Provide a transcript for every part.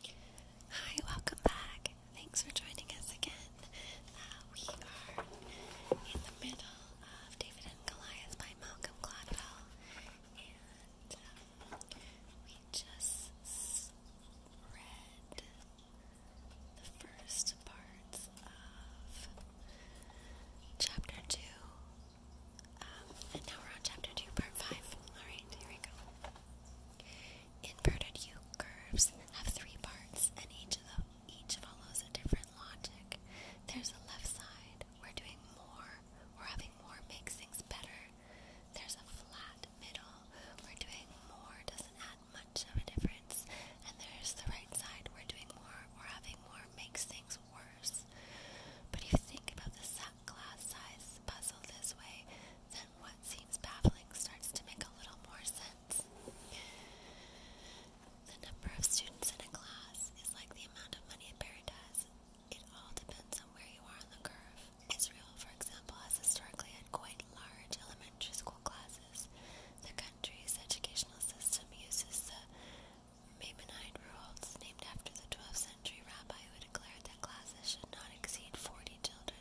Hi, welcome back. Thanks for joining us again. Uh, we are in the middle of David and Goliath by Malcolm Gladwell, and um, we just read the first part of chapter 2. Um, and now we're on chapter 2, part 5. Alright, here we go. Inverted U curves have three parts, and each of them each follows a different logic. There's a left side, we're doing more, we're having more makes things better. There's a flat middle, we're doing more, doesn't add much of a difference. And there's the right side, we're doing more, we're having more, makes things worse. But if you think about the glass-sized puzzle this way, then what seems baffling starts to make a little more sense. The number of students in a class is like the amount of money a parent has. It all depends on where you are on the curve. Israel, for example, has historically had quite large elementary school classes. The country's educational system uses the Maimonide rules, named after the 12 century rabbi who declared that classes should not exceed 40 children.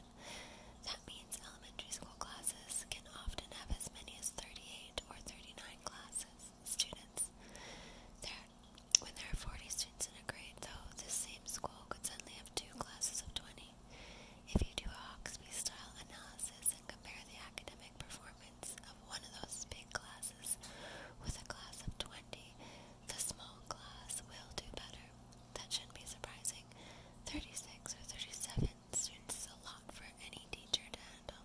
That means elementary school classes can often have as many as 38 or 39 classes, students. There, when there are 40 students in a grade, though, this same school could suddenly have two classes of 20. If you do a Hawksby-style analysis and compare the academic performance of one of those big classes with a class of 20, the small class will do better. That shouldn't be surprising. 36 or 37 students is a lot for any teacher to handle.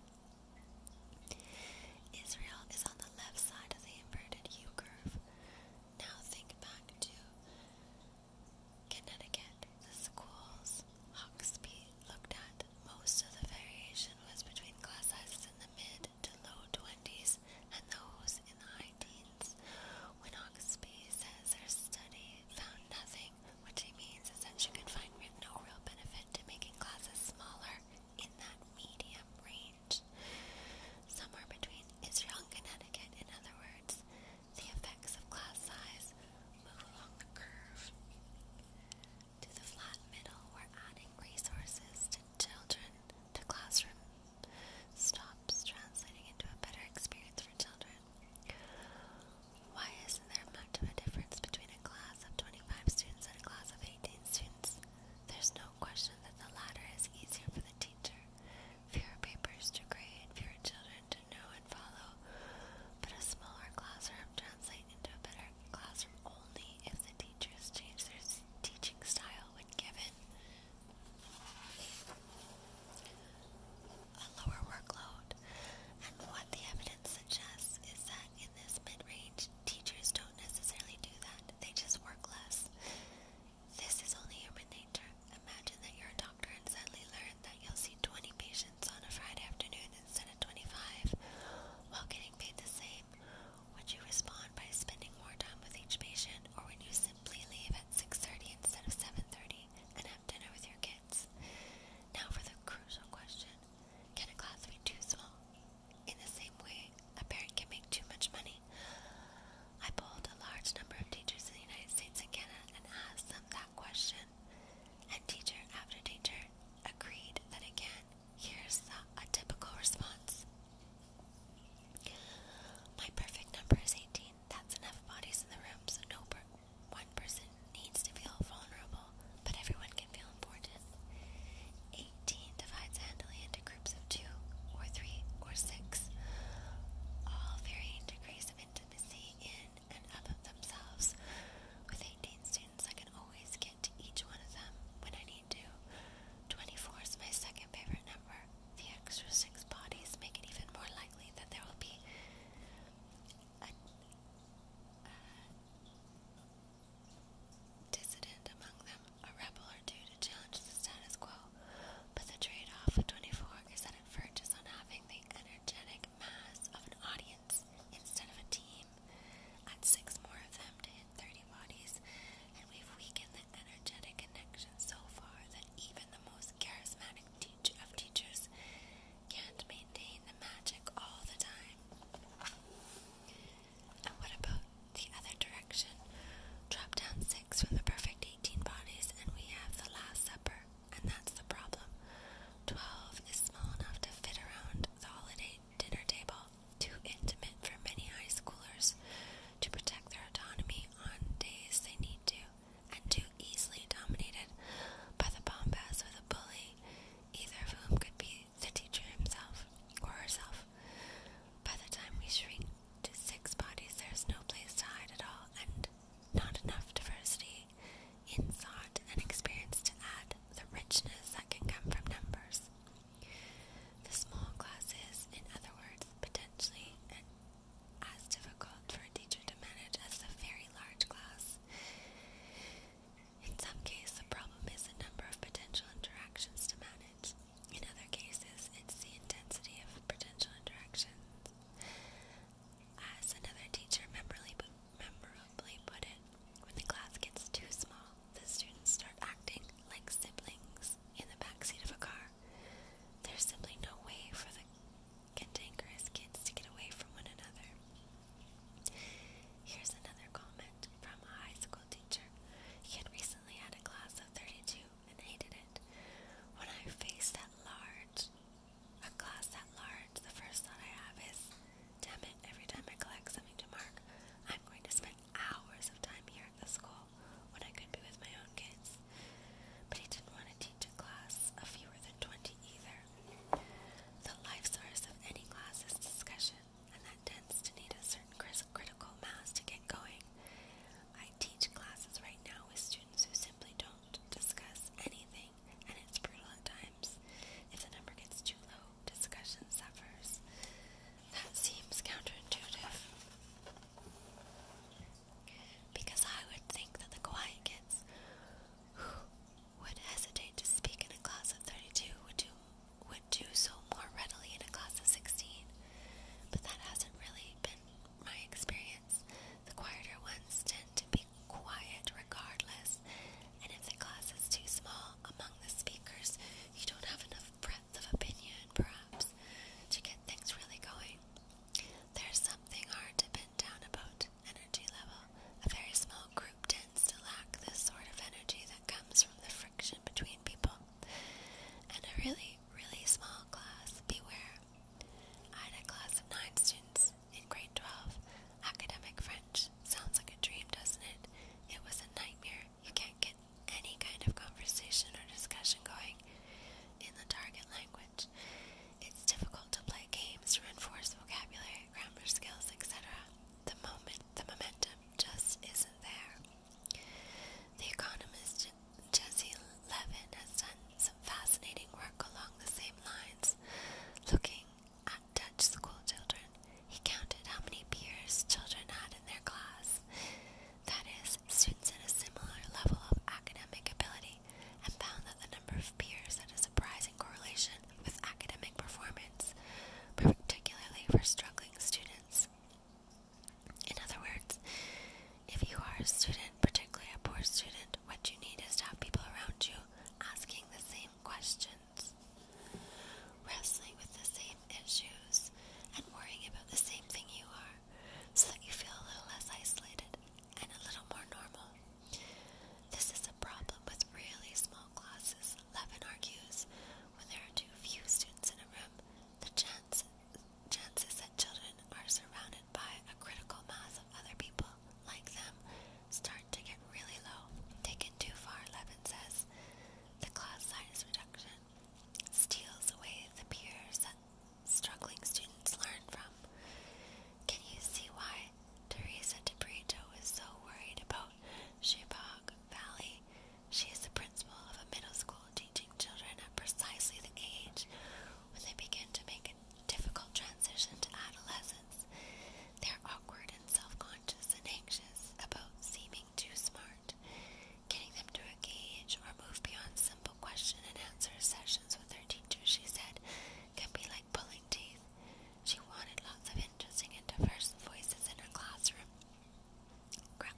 Israel is on the left side of the inverted U curve. Now think back to Connecticut. The schools Hawksby looked at. Most of the variation was between class sizes in the mid mid to low 20s and those in the high teens. When Oxby says her study found nothing, what she means is that she could find no real benefit to making classes smaller in that medium range. Somewhere between Israel and Connecticut, in other words, the effects of class size move along the curve. To the flat middle, we're adding resources to children to classroom stops translating into a better experience for children. Why isn't there much of a difference between a class of 25 students and a class of 18 students? There's no question that the latter is easier for the teacher. Fewer papers to grade, fewer children to know and follow, but a smaller classroom translates into a better classroom only if the teacher teachers change their teaching style when given a lower workload, and what the evidence suggests is that in this mid range, teachers don't necessarily do that, they just work less. This is only human nature. Imagine that you're a doctor and suddenly learn that you'll see 20 patients on a Friday afternoon instead of 25 while getting paid the same, would you respond by spending more time with each patient, or would you simply leave at 6.30 instead of 7.30 and have dinner with your kids? Now for the crucial question. Can a class be too small? In the same way, a parent can make too much money. I polled a large number of teachers in the United States and Canada and asked them that question. And teacher after teacher agreed, and again, here's a typical response. My perfect number is 18. That's enough bodies in the room, so no one person needs to feel vulnerable, but everyone can feel important. 18 divides handily into groups of two, or three, or six, all varying degrees of intimacy in and of themselves, with 18 students I can always get to each one of them when I need to. 24 is my second favorite number. The extra six bodies make it even more likely that there will be a, dissident among them, a rebel or two to challenge the status quo. But the trade off of 24 is that it verges on having the energetic mass of an audience instead of a team. Add six more of them to hit 30 bodies, and we've weakened the energetic connection so far that even the most charismatic teacher of teachers can't maintain the magic all the time. And what about the other direction? Drop down six from the perfect 18 bodies, and we have the Last Supper, and that's the problem. 12 is small enough to fit around the holiday dinner table, too intimate for many high schoolers to protect their autonomy on days they need to, and too easily dominated by the bombast of the bully, either of whom could be the teacher himself or herself. By the time we shrink to six bodies, there's no place to hide at all, and not enough diversity insight, and experience to add the richness that can come from numbers. The small classes, in other words, potentially and as difficult for a teacher to manage as a very large class. In some cases, the problem is the number of potential interactions to manage. In other cases, it's the intensity of potential interactions. As another teacher memorably memorably put it, when the class gets too small, the students start acting like siblings in the backseat of a car. There's simply no way for the cantankerous kids to get away from one another. Here's another comment from a high school teacher. He had recently had a class of 32 and hated it. When I faced that large, a class that large, the first thought I have is, Damn it, every time I collect something to mark, I'm going to spend hours of time here at the school when I could be with my own kids. But he didn't want to teach a class of fewer than 20 either. The life source of any class is discussion, and that tends to need a certain critical mass to get going. I teach classes right now with students who simply don't discuss anything challenging, and it's brutal at times. If the number gets too low, discussion suffers. That seems counterintuitive. Because I would think that the quiet kids who would hesitate to speak in a class of 32 would do, would do so more readily in a class of 16. But that hasn't really been my experience. The quieter ones tend to keeping quiet regardless, and if the class is too small among the speakers, you don't have enough breadth of opinion, perhaps, to get things really going. There's something hard to pin down about energy level. A very small group tends to lack this sort of energy that comes from the friction between people. And a really, really small class, beware. I had a class of nine students in grade 12. Academic French. Sounds like a dream, doesn't it? It was a nightmare. You can't get any kind of conversation or discussion going in the target language. It's difficult to play games, reinforce vocabulary, grammar skills, etc. The moment, the momentum just isn't there. The economist Jesse Levin has done some fascinating work along the same lines, looking at Dutch school he counted how many peers children had in their class. That is, students in a similar level of academic ability, and found that the number of peers had a surprising correlation with academic performance, particularly for struggling students. In other words, if you are a student particularly a poor student, what you need is to have people around you asking the same questions, wrestling with the same issues, and worrying about the same thing you are, so that you feel a little less isolated and a little more normal. This is a problem with really small classes. Levin argues when there are too few students in a room, the chance, chances that children are surrounded by a critical mass of other people like them, start to get really low. Taken too far, Levin says. The class size reduction steals away the peers that struggling students learn from. Can you see why Teresa DeBrito is so worried about Shebog Valley? She is the principal of a middle school teaching children at precisely the age when they begin to make difficult transition to adolescence. They're awkward and self conscious and anxious about seeming too smart. Getting them to engage or move beyond simple question and answer sessions with their teacher, she said, can be like pulling teeth. She wanted lots of interesting and diverse voices in her classroom,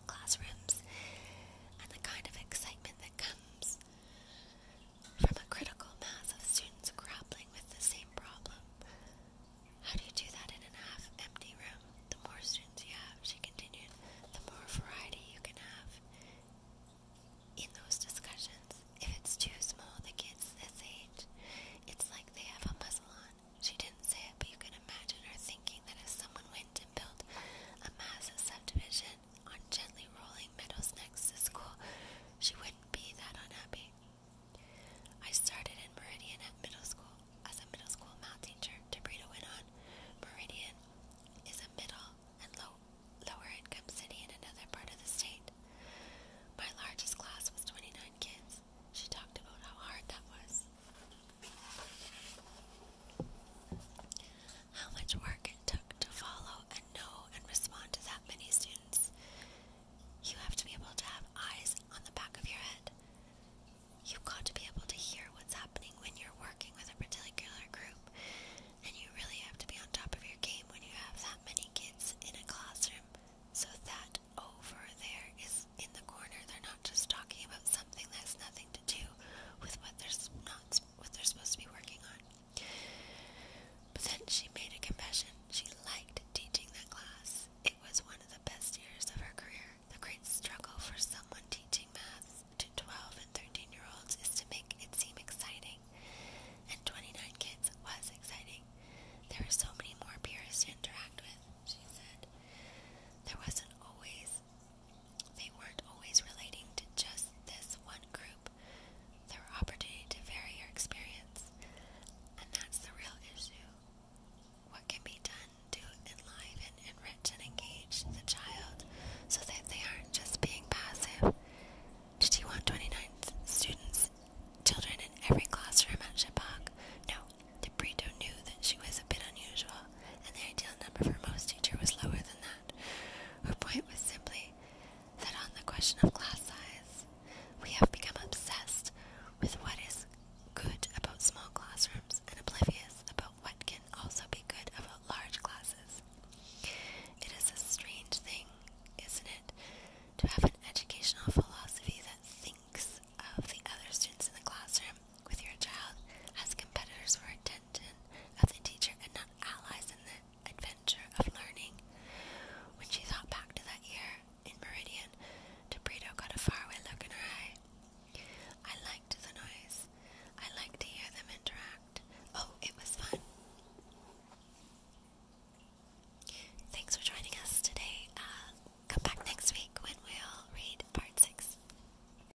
classrooms, and the kind of excitement that comes from a critical mass of students grappling with the same problem. How do you do that in a half empty room? The more students you have, she continued, the more variety you can have in those discussions. If it's too small, the kids this age, it's like they have a muzzle on. She didn't say it, but you can imagine her thinking that if someone went and built a mass of subdivision on gently rolling meadows next to school, she wouldn't be that unhappy. I started in Meridian at middle school as a middle school math teacher, Debrito went on. Meridian is a middle and low, lower income city in another part of the state. My largest class was 29 kids. She talked about how hard that was how much work it took to follow and know and respond to that many students. You have to be able to have eyes on the back of your head. You've got to be able to hear what's happening when you're working with a particular group, and you really have to be on top of your game when you have that many kids in a classroom so that over there is in the corner. They're not just talking about something that has nothing to do with what they're not what they're supposed to be working on. But then she made a confession. She liked teaching that class. It was one of the best years of her career. The great struggle for someone teaching math to 12 and 13 year olds is to make it seem exciting. And 29 kids was exciting. There were so many more peers to interact with, she said. There wasn't always they weren't always relating to just this one group. There were opportunities to vary your experience, and that's the real issue. What can be done to enliven, enrich, and engage the child so that they aren't just being passive? Did you want 29 students, children in every classroom at Shipok? No, DeBrito knew that she was a bit unusual, and the ideal number for most teacher was lower than that that. Her point was simply that on the question of class size, we have become obsessed with what is good about small classrooms and oblivious about what can also be good about large classes. It is a strange thing, isn't it, to have an educational philosophy that thinks of the other students in the classroom with your child as competitors for attention of the teacher and not allies in the adventure of learning. When she thought back to that year in Meridian, Debrito got a faraway look in her eye. I liked the noise. I liked to hear them interact. Oh, it was fun. Thanks for joining us today. Uh, come back next week when we'll read part six.